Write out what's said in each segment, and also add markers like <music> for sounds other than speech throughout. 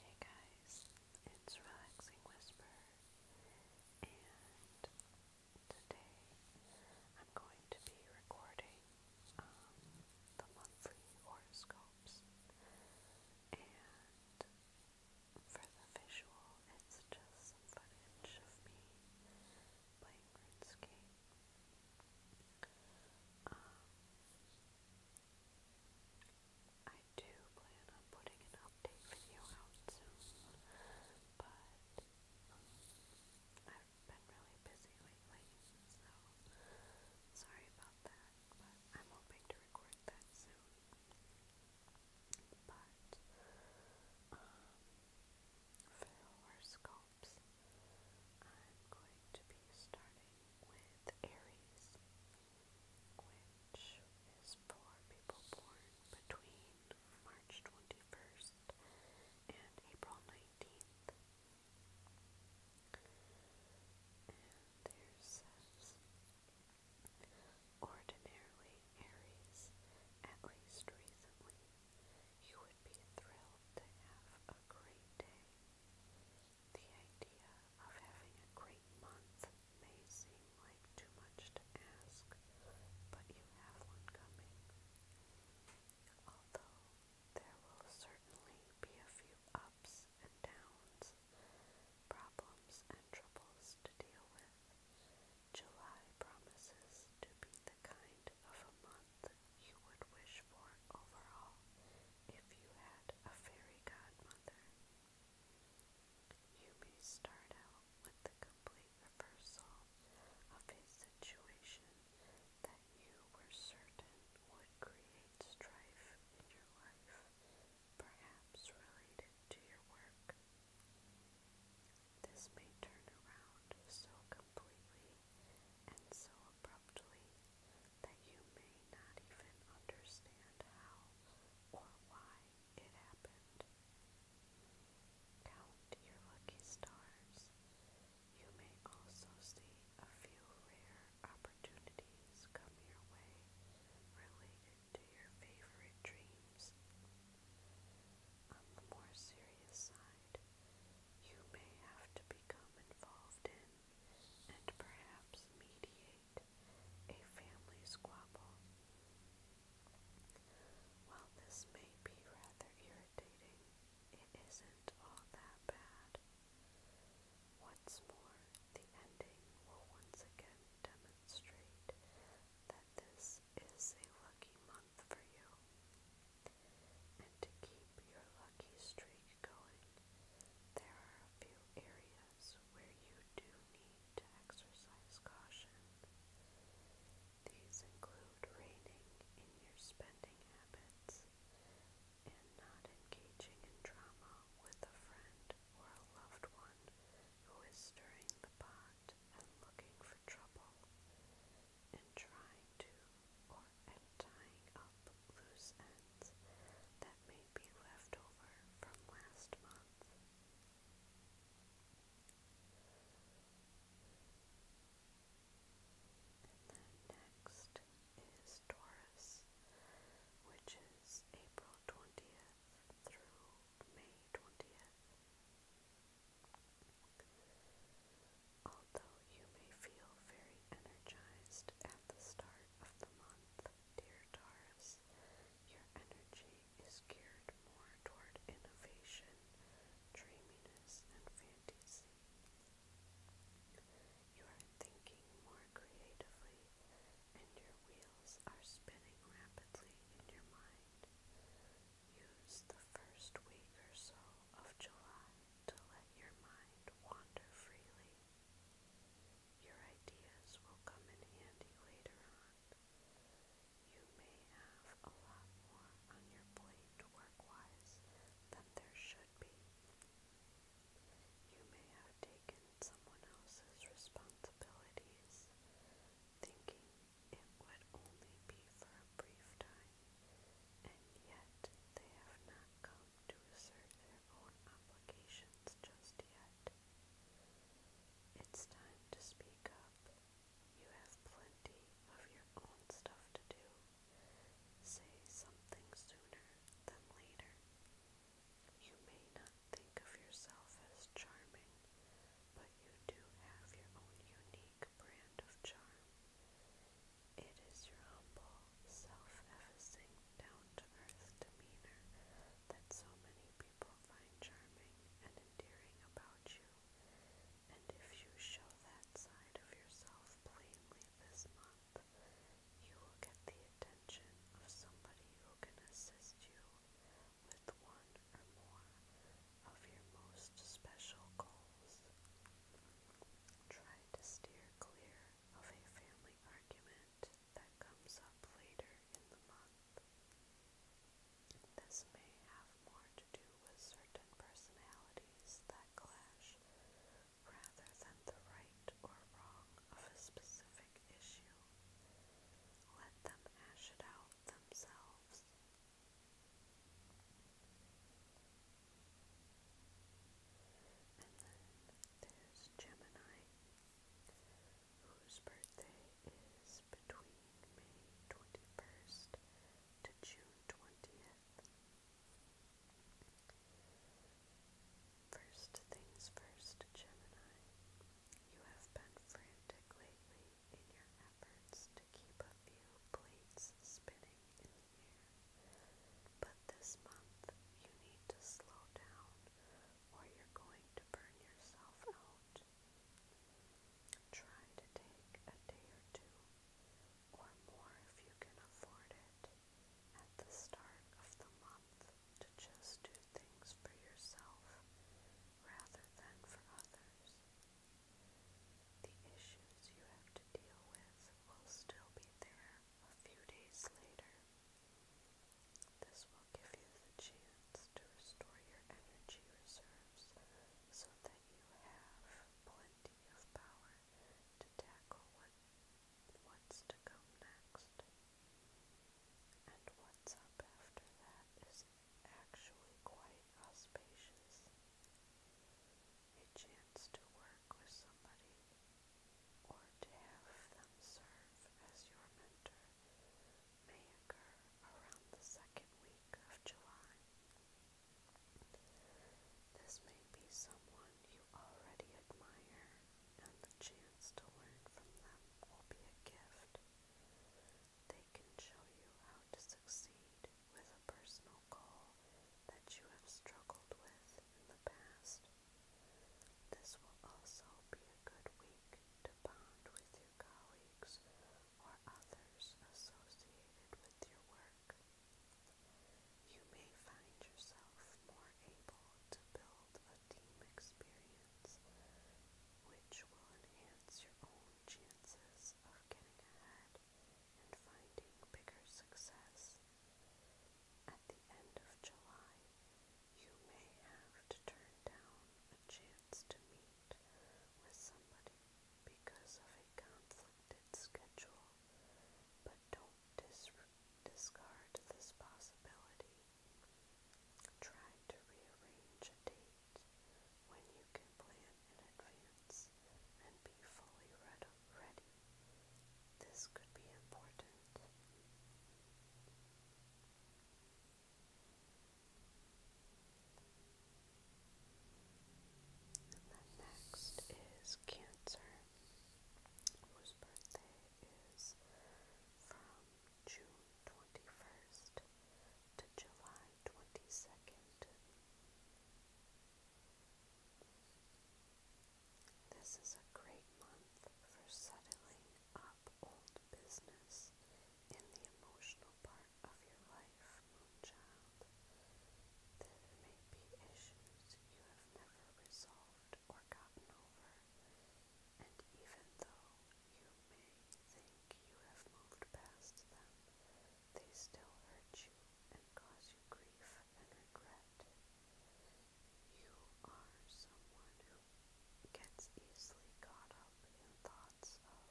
Hey guys, it's Relaxing Whisper, and today I'm going to be recording um, the monthly horoscopes. And for the visual, it's just footage of me playing RuneScape. Um, I do plan on putting an update video out soon, but I've been really busy lately, so sorry about that, but I'm hoping to record that soon. But, um, for horoscopes, I'm going to be starting with Aries, which is for people born between March 21st and April 19th. And ordinarily, Aries, at least recently, you would be thrilled to have a great day. The idea of having a great month may seem like too much to ask, but you have one coming. Although there will certainly be a few ups and downs, problems and troubles to deal with, July promises to be the kind of a month you would wish for overall if you had a fairy godmother. You may start out with the complete reversal of a situation that you were certain would create strife in your life, perhaps related to your work. This may turn around so completely and so abruptly that you may not even understand how or why it happened. Count your lucky stars. You may also see a few rare opportunities come your way related to your favorite dreams. On the more serious side, you may have to become involved in and perhaps mediate a family squabble. While this may be rather irritating, it isn't all that bad. Once more, the ending will once again demonstrate that this is a lucky month for you. And to keep your lucky streak get going, there are a few areas where you do need to exercise caution. These include reining in your spending habits and not engaging in drama with a friend or a loved one who is stirring the pot and looking for trouble and trying to or and tying up loose ends that may be left over from last month. And then next is Taurus, which is April 20th through May 20th. Although you may feel very energized at the start of the month, dear Taurus. Your energy is geared more toward innovation, dreaminess, and fantasy. You are thinking more creatively, and your wheels are spinning rapidly in your mind. Use the first week or so of July to let your mind wander freely your ideas will come in handy later on. You may have a lot more on your plate work-wise than there should be. You may have taken someone else's responsibilities, thinking it would only be for a brief time, and yet they have not come to assert their own obligations just yet. It's time to speak up. You have plenty of your own stuff to do. Say something sooner than later. You may not think of yourself as charming, but you do have your own unique brand of charm. It is your humble, self-effacing, down-to-earth demeanor that so many people find charming and endearing about you, and if you show that side of yourself plainly this month, you will get the attention of somebody who can assist you with one or more of your most special goals. Try to steer clear of a family argument that comes up later in the month. This may have more to do with certain personalities that clash rather than the right or wrong of a specific issue. Let them hash it out themselves there's Gemini, whose birthday is between May 21st to June 20th. First things first, Gemini. You have been frantic lately in your efforts to keep a few plates spinning but this month, you need to slow down or you're going to burn yourself out. Try to take a day or two or more if you can afford it at the start of the month to just do things for yourself rather than for others. The issues you have to deal with will still be there, a few days later, this will give you the chance to restore your energy reserves so that you have plenty of power to tackle what, what's to come next. And what's up after that is actually quite auspicious a chance to work with somebody or to have them serve as your mentor may occur around the second week of July. This may be someone you already admire, and the chance to learn from them will be a gift. They can show you how to succeed with a personal goal that you have struggled with in the past. This will also be a good week to bond with your colleagues or others associated with your work. You may find yourself more able to build a team experience which will enhance your own chances of getting ahead and finding bigger success. At the end of July, you may have to turn down a chance to meet with somebody because of a conflicted schedule, but don't discard this possibility. Try to rearrange a date when you can plan in advance and be fully ready ready. This could be important. And then next is Cancer, whose birthday is from June 21st to July 22nd. This is a great month for settling up old business in the emotional part of your life, Moonchild. There may be issues you have never resolved or gotten over, and even though you may think you have moved past them, they still hurt you and cause you grief and regret. You are someone who gets easily caught up in thoughts of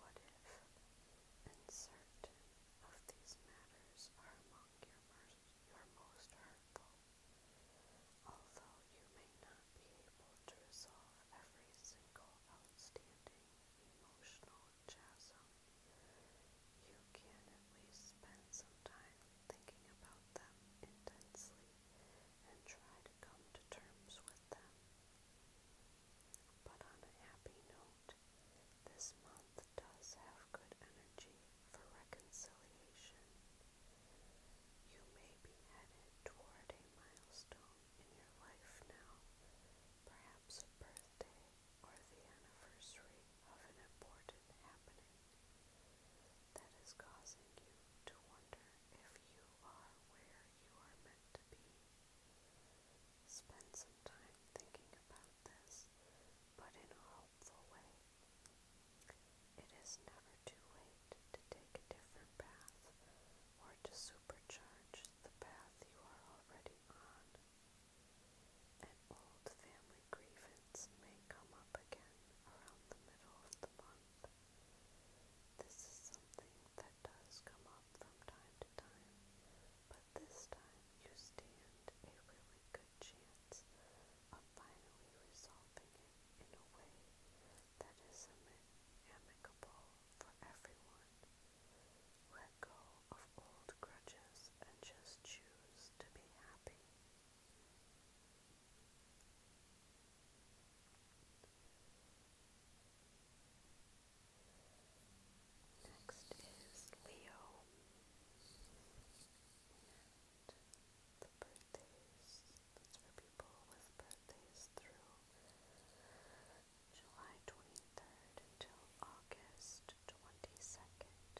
what if, and of these matters are among your, your most hurtful. Although you may not be able to resolve every single outstanding emotional chasm, you can at least spend some time thinking about them intensely and try to come to terms with them. But on a happy note, this month does have good energy for reconciliation. You may be headed toward a milestone in your life now, perhaps a birthday or the anniversary of an important happening that is causing you to wonder if you are where you are meant to be. Spend some time thinking about this, but in a hopeful way. It is never too late to take a different path or to supercharge the path you are already on. An old family grievance may come up again around the middle of the month. This is something that does come up from time to time, but this time you stand a really good chance of finally resolving it in a way that is amicable for everyone go of old grudges and just choose to be happy. Next is Leo. the birthdays, that's for people with birthdays through July 23rd until August 22nd.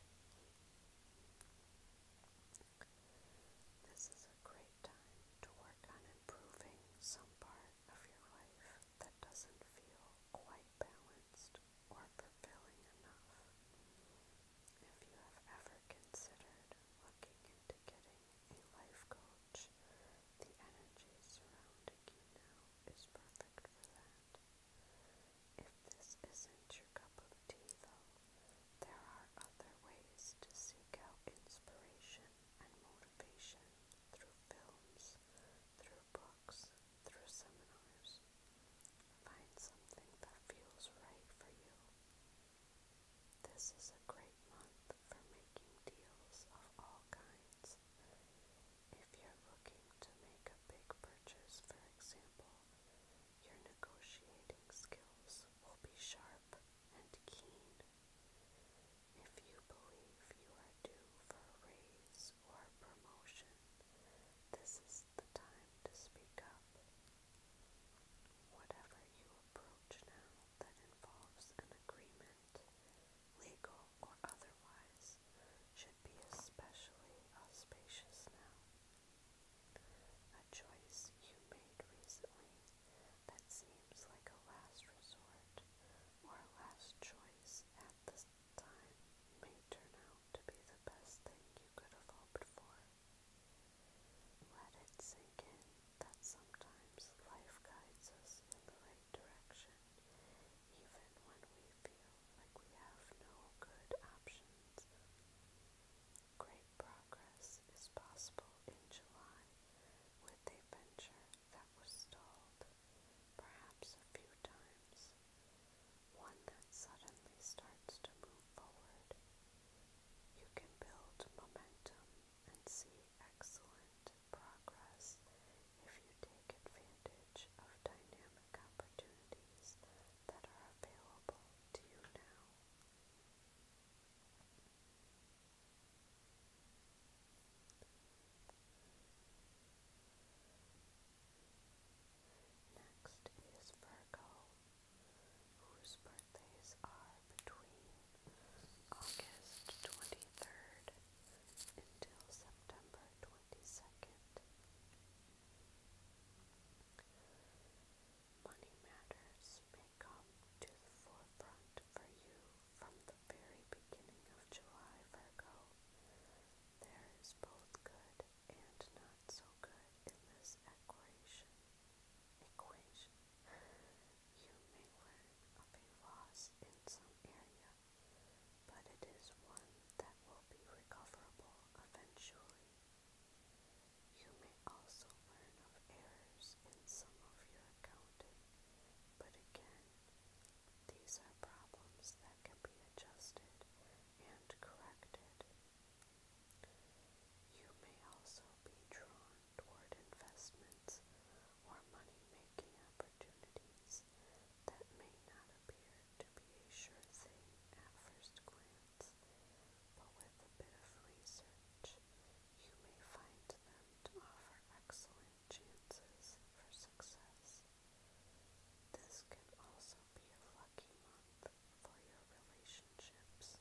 This is a great time to work on improving some part of your life that doesn't feel quite balanced or fulfilling enough. If you have ever considered looking into getting a life coach, the energy surrounding you is perfect for that. If this isn't your cup of tea, though, there are other ways to seek out inspiration and motivation through films, through books, through seminars. Find something that feels right for you. This is a great month for making deals of all kinds. If you're looking to make a big purchase, for example, your negotiating skills will be sharp and keen. If you believe you are due for a raise or promotion, this is the time to speak up. Whatever you approach now that involves an agreement, legal or otherwise, house should be especially auspicious now. A choice you made recently that seems like a last resort or a last choice at this time may turn out to be the best thing you could have hoped for. Let it sink in that sometimes life guides us in the right direction even when we feel like we have no good options. Great progress is possible in July with a venture that was stalled perhaps a few times, one that suddenly starts to move forward. You can build momentum and see excellent progress if you take advantage of dynamic work opportunities that are available to you now. Next is Virgo, whose birthdays are between August 23rd until September 22nd. Money matters may come to the forefront for you from the very beginning of July, Virgo. There is both good and not so good in this equation. Equation. You may learn of a loss in some area but it is one that will be recoverable eventually. You may also learn of errors in some of your accounting, but again, these are problems that can be adjusted and corrected. You may also be drawn toward investments or money making opportunities opportunities that may not appear to be a sure thing at first glance, but with a bit of research, you may find them to offer excellent chances for success. This can also be a lucky month for your relationships.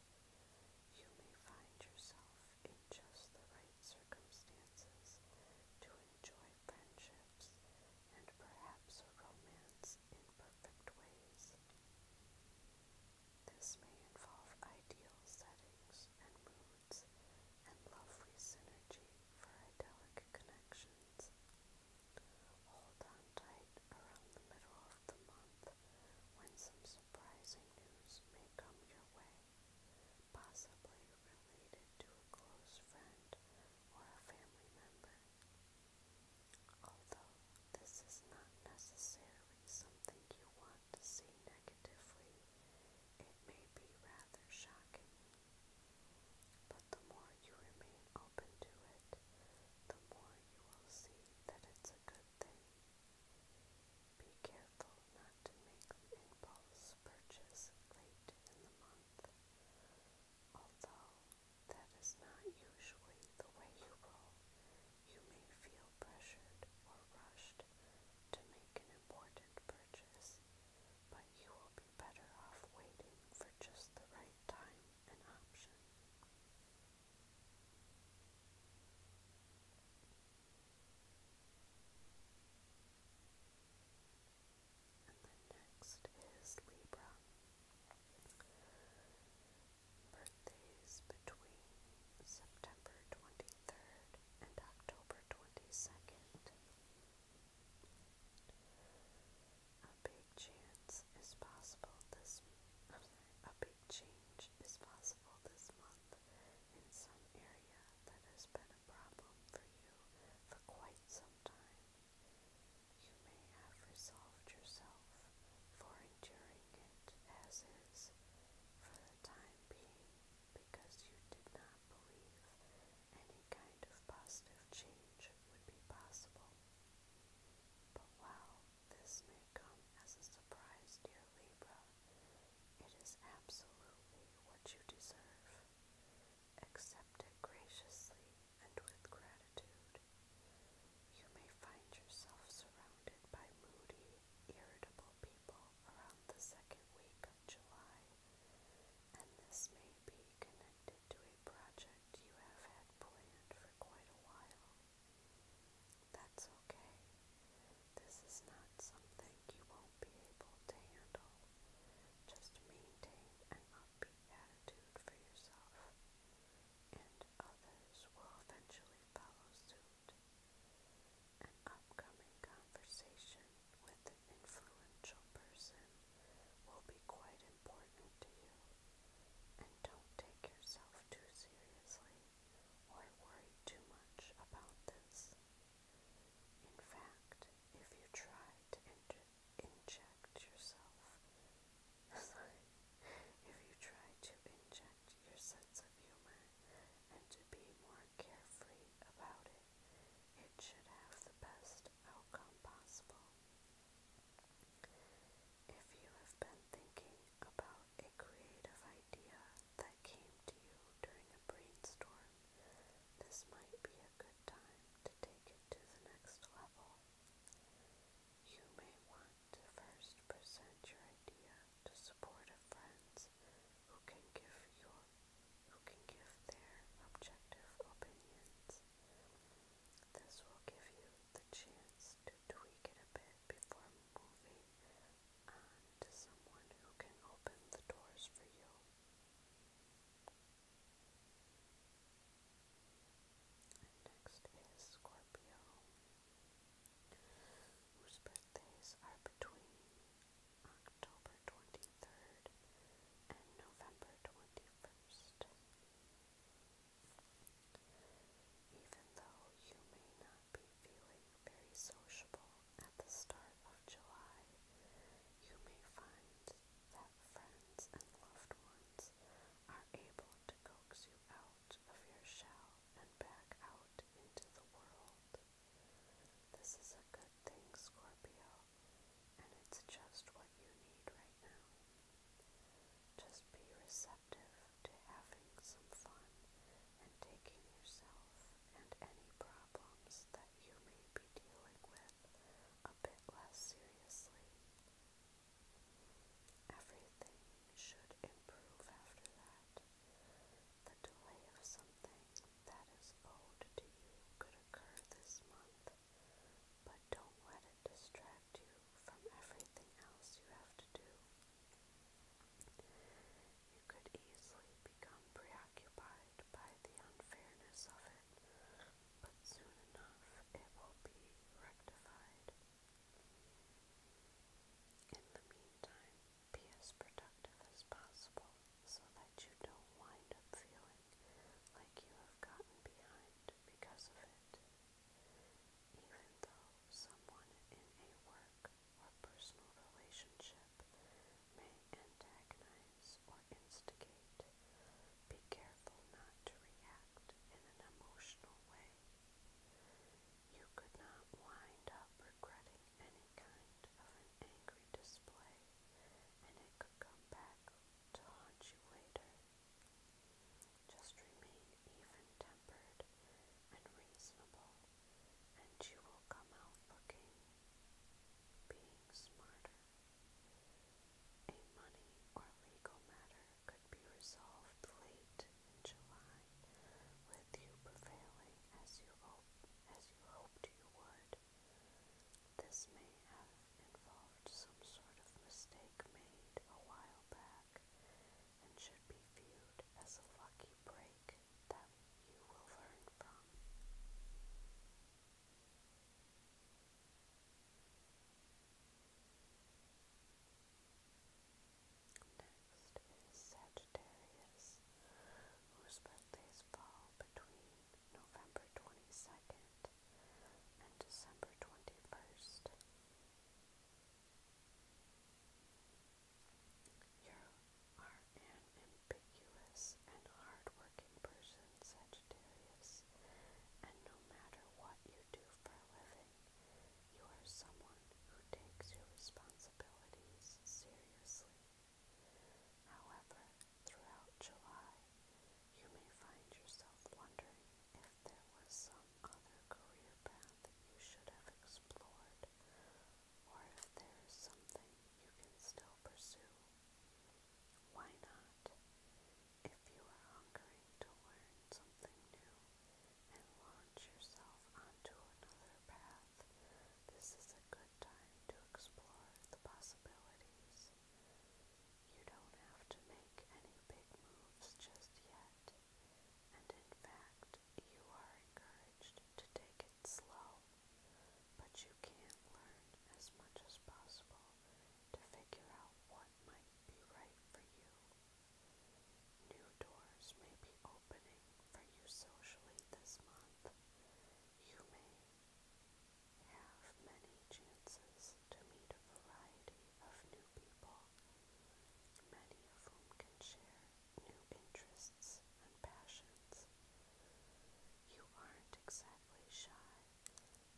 You may find yourself in just the right circumstances to enjoy friendships and perhaps romance in perfect ways. This may involve ideal settings and moods and lovely synergy for idyllic connections. Hold on tight around the middle of the month when some surprising news may come your way, possibly related to a close friend or a family member. Although this is not necessarily something you want to see negatively, it may be rather shocking. But the more you remain open to it, the more you will see that it's a good thing. Be careful not to make impulse purchase late in the month. Although that is not usually the way you roll, you may feel pressured or rushed to make an important purchase, but you will be better off waiting for just the right time and option. And then next is Libra. Birthdays between September 23rd and October 22nd. A big chance is possible this a big change is possible this month in some area that has problem for you for quite some time. You may have resolved yourself for enduring it as is for the time being because you did not believe any kind of positive change would be possible. But while this may come as a surprise, dear Libra, it is absolutely what you deserve. Accept it graciously and with gratitude. You may find yourself surrounded by moody, irritable people around the second week of July, and this may be connected to a project you have had planned for quite a while. That's okay. This is not something you won't be able to handle. Just maintain an upbeat attitude for yourself, and others will eventually follow suit. An upcoming conversation with an influential person will be quite important to you, and don't take yourself too seriously or worry too much about this. In fact, if you try to enter inject yourself. <laughs> If you try to inject your sense of humor and to be more carefree about it, it should have the best outcome possible. If you have been thinking about a creative idea that came to you during a brainstorm, this might be a good time to take it to the next level. You may want to first present your idea to supportive friends who can give your who can give their objective opinions. This will give you the chance to tweak it a bit before moving on to someone who can open the doors for you. And next is Scorpio, whose birthdays are between October 23rd and November 21st. Even though you may not be feeling very sociable at the start of July, you may find that friends and loved ones are able to coax you out of your shell and back out into the world. This is a good thing, Scorpio, and it's just what you need right now. Just be receptive to having some fun and taking yourself and any problems that you may be dealing with life a bit less seriously. Everything should improve after that. The delay of something that is owed to you could occur this month, but don't let it distract you from everything else you have to do. You could easily become preoccupied by the unfairness of it but soon enough it will be rectified. In the meantime, be as productive as possible so that you don't wind up feeling like you have gotten behind because of it. Even though someone in a work or personal relationship may antagonize or instigate. Be careful not to react in an emotional way. You could not wind up regretting any kind of an angry display, and it could come back to haunt you later. Just remain even tempered and reasonable, and you will come out looking, being smarter. A money or legal matter could be resolved late July, with you prevailing as you, as you hoped you would. This may have involved some sort of mistake made a while back and should be viewed as a lucky break that you will learn from. Next is Sagittarius, whose birthdays fall between November 22nd and December 21st. are an conspicuous and hard-working person, Sagittarius, and no matter what you do for a living, you are someone who takes your responsibilities seriously. However, throughout July, you may find yourself wondering if there was some other career path you should have explored, or if there is something you can still pursue. Why not? If you are hungering to learn something new and launch yourself onto another path, this is a good time to explore the possibilities. You don't have to make any big moves just yet, and in fact, you are encouraged to take it slow, but you can learn as much as possible to figure out what might be right for you. New doors may be opening for you socially this month. You may have many chances to meet a variety of new people, many of whom can share new interests and passions. You aren't exactly shy,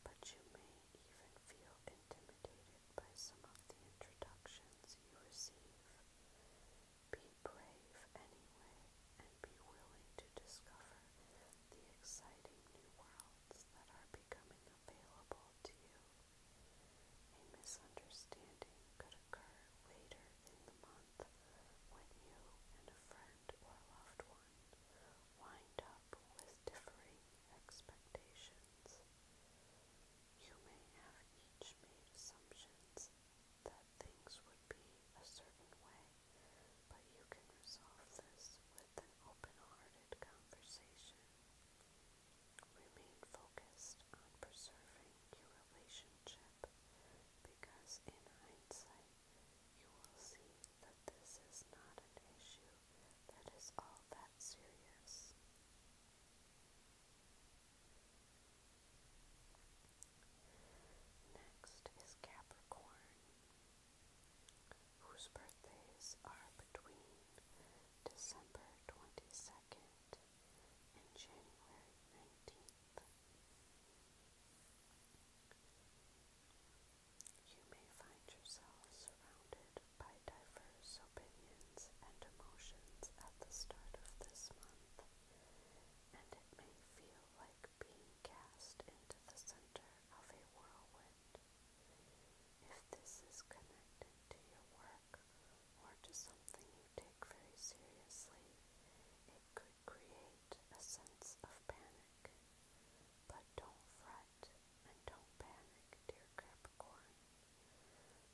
but you may even feel intimidated by some of the introductions you receive. Be brave anyway and be willing to discover the exciting new worlds that are becoming available to you. A misunderstanding could occur later in the month when you and a friend or loved one wind up with differing expectations. You may have each made assumptions that things would be a certain way, but you can resolve this with an open hearted conversation. Remain focused on preserving your relationship because, in hindsight, you will see that this is not an issue that is all that serious. Next is Capricorn, whose birthdays are between December 22nd and January 19th. You may find yourself surrounded by diverse opinions and emotions at the start of this month, and it may feel like being cast into the center of a whirlwind. If this is connected to your work or to something you take very seriously, it could create a sense of panic. But don't fret and don't panic, dear Capricorn.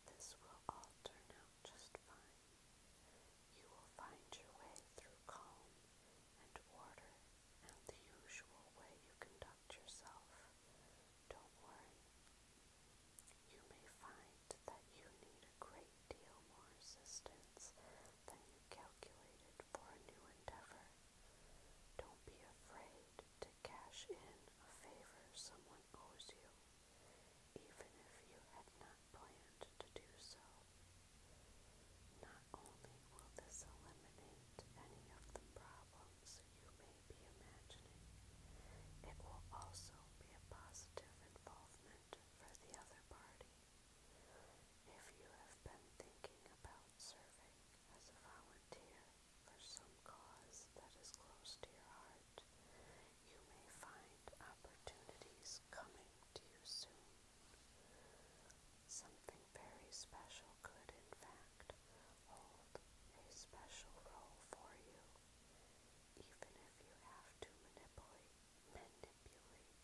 This will all turn out just fine. You will find your way through calm and order and the usual way you conduct yourself. Don't worry. You may find that you need a great deal more assistance than you calculated for a new endeavor. Don't be afraid to cash in a favor someone owes you, even if you had not planned to do so. Not only will this eliminate any of the problems you may be imagining, it will also be a positive involvement for the other party. If you have been thinking about serving as a volunteer for some cause that is close to your heart, you may find opportunities coming to you soon. Something very special could, in fact, hold a special role for you, even if you have to manipulate manipulate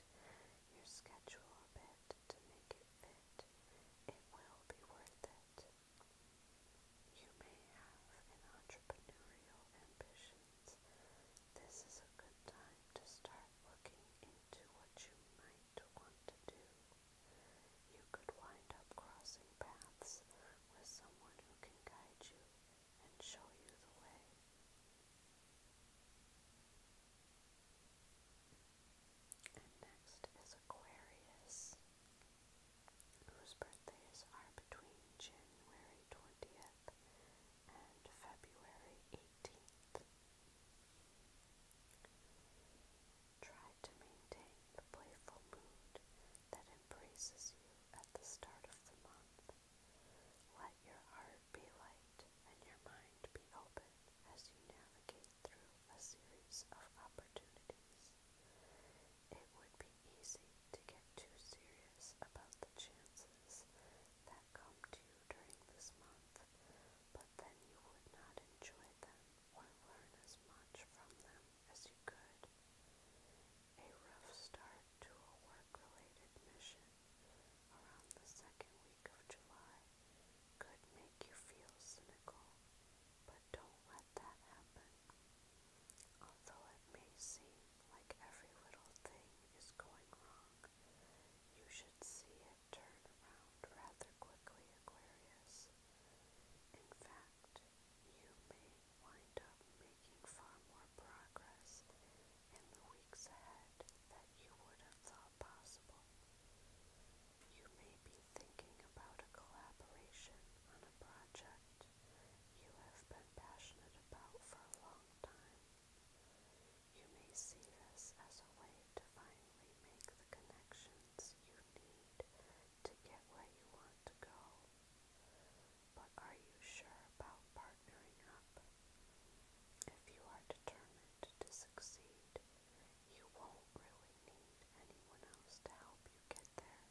your schedule a bit to make it fit, it will be worth it. You may have entrepreneurial ambitions. This is a good time to start looking into what you might want to do. You could wind up crossing paths with someone who can guide you and show you the way. And next is Aquarius, whose birthdays are between January 20th and February 18th. Try to maintain the playful mood that embraces you at the start of the month. Let your heart be light and your mind be open as you navigate through a series of opportunities. It would be easy to get too serious about the chances that come to you during this month, but then you would not enjoy them or learn as much from them as you could. A rough start to a work related mission around the second week of July could make you feel cynical, but don't let that happen. Although it may seem like every little thing is going wrong, you should see it turn around rather quickly, Aquarius. In fact, you may wind up making far more progress in the weeks ahead that you would have thought possible. You may be thinking about a collaboration on a project you have been passionate about for a long time. You may see this as a way to finally make the connections you need to get where you want to go. But are you sure about partnering up if you are determined to succeed, you won't really need anyone else to help you get there.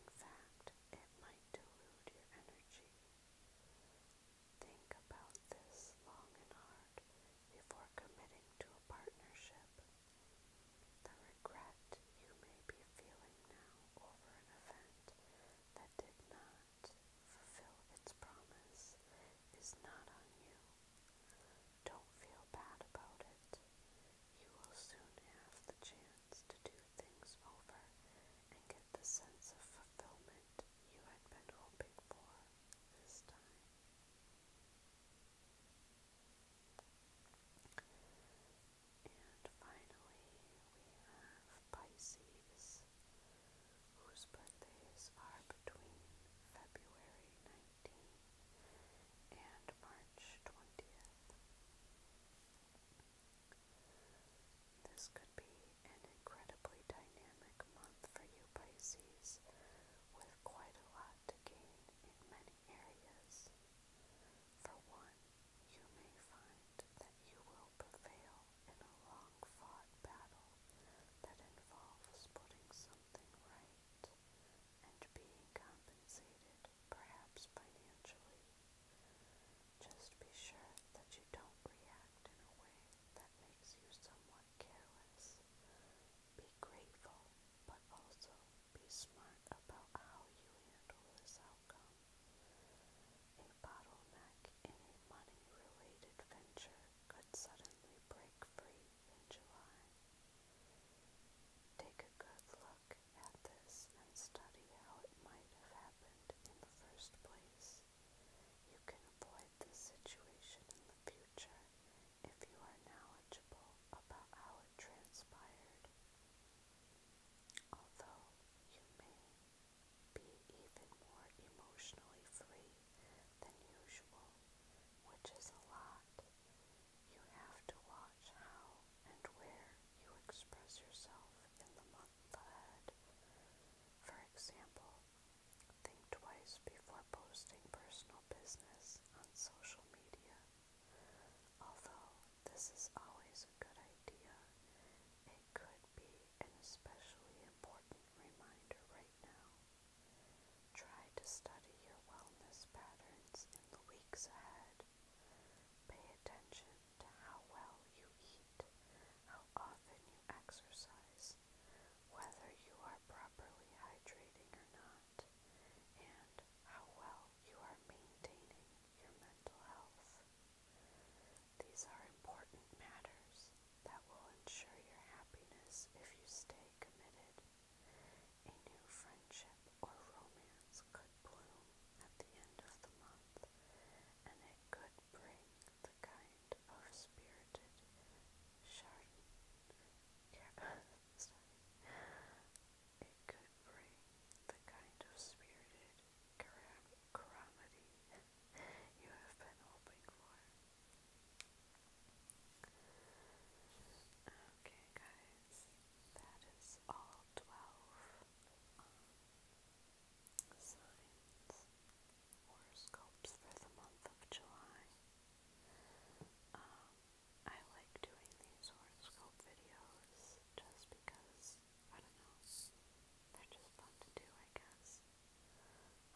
In fact, it might dilute your energy. Think about this long and hard before committing to a partnership. The regret you may be feeling now over an event that did not fulfill its promise is not on you. Don't feel bad about it. You will soon have the chance to do things over and get the sense of fulfillment you had been hoping for this time. And finally, we have Pisces whose birthdays are between February 19 and March 20th. This could be an incredibly dynamic month for you, Pisces, with quite a lot to gain in many areas. For one, you may find that you will prevail in a long fought battle that involves putting something right and being compensated, perhaps financially. Just be sure that you don't react in a way that makes you somewhat careless. Be grateful, but also be smart about how you handle this outcome. A bottleneck in a money-related venture could suddenly break free in July. Take a good look at this and study how it might have happened in the first place. You can avoid this situation in the future if you are knowledgeable about how it transpired. Although you may be even more emotionally free than usual, which is a lot. You have to watch how and where you express yourself in the month ahead. For example, think twice before posting personal business on social media. Although this is always a good idea, it Today could be an especially important reminder right now. Try to study your wellness patterns in the weeks ahead. Pay attention to how well you eat, how often you exercise, whether you are properly hydrating or not, and how well you are maintaining your mental health. These are important matters that will ensure your happiness if you stay committed. A new friendship or romance could bloom at the end of the month, and it could bring the kind of spirited chardon. <laughs> It could bring the kind of spirited calamity you have been hoping for. Okay, guys, that is all 12 signs, horoscopes for the month of July. Um, I like doing these horoscope videos just because I don't know. They're just fun to do, I guess.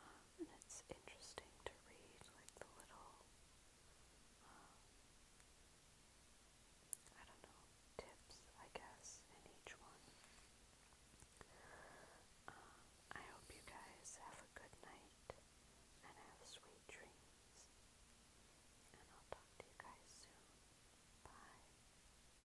Um, and it's interesting to read, like the little, um, I don't know, tips, I guess, in each one. Um, I hope you guys have a good night and have sweet dreams. And I'll talk to you guys soon. Bye.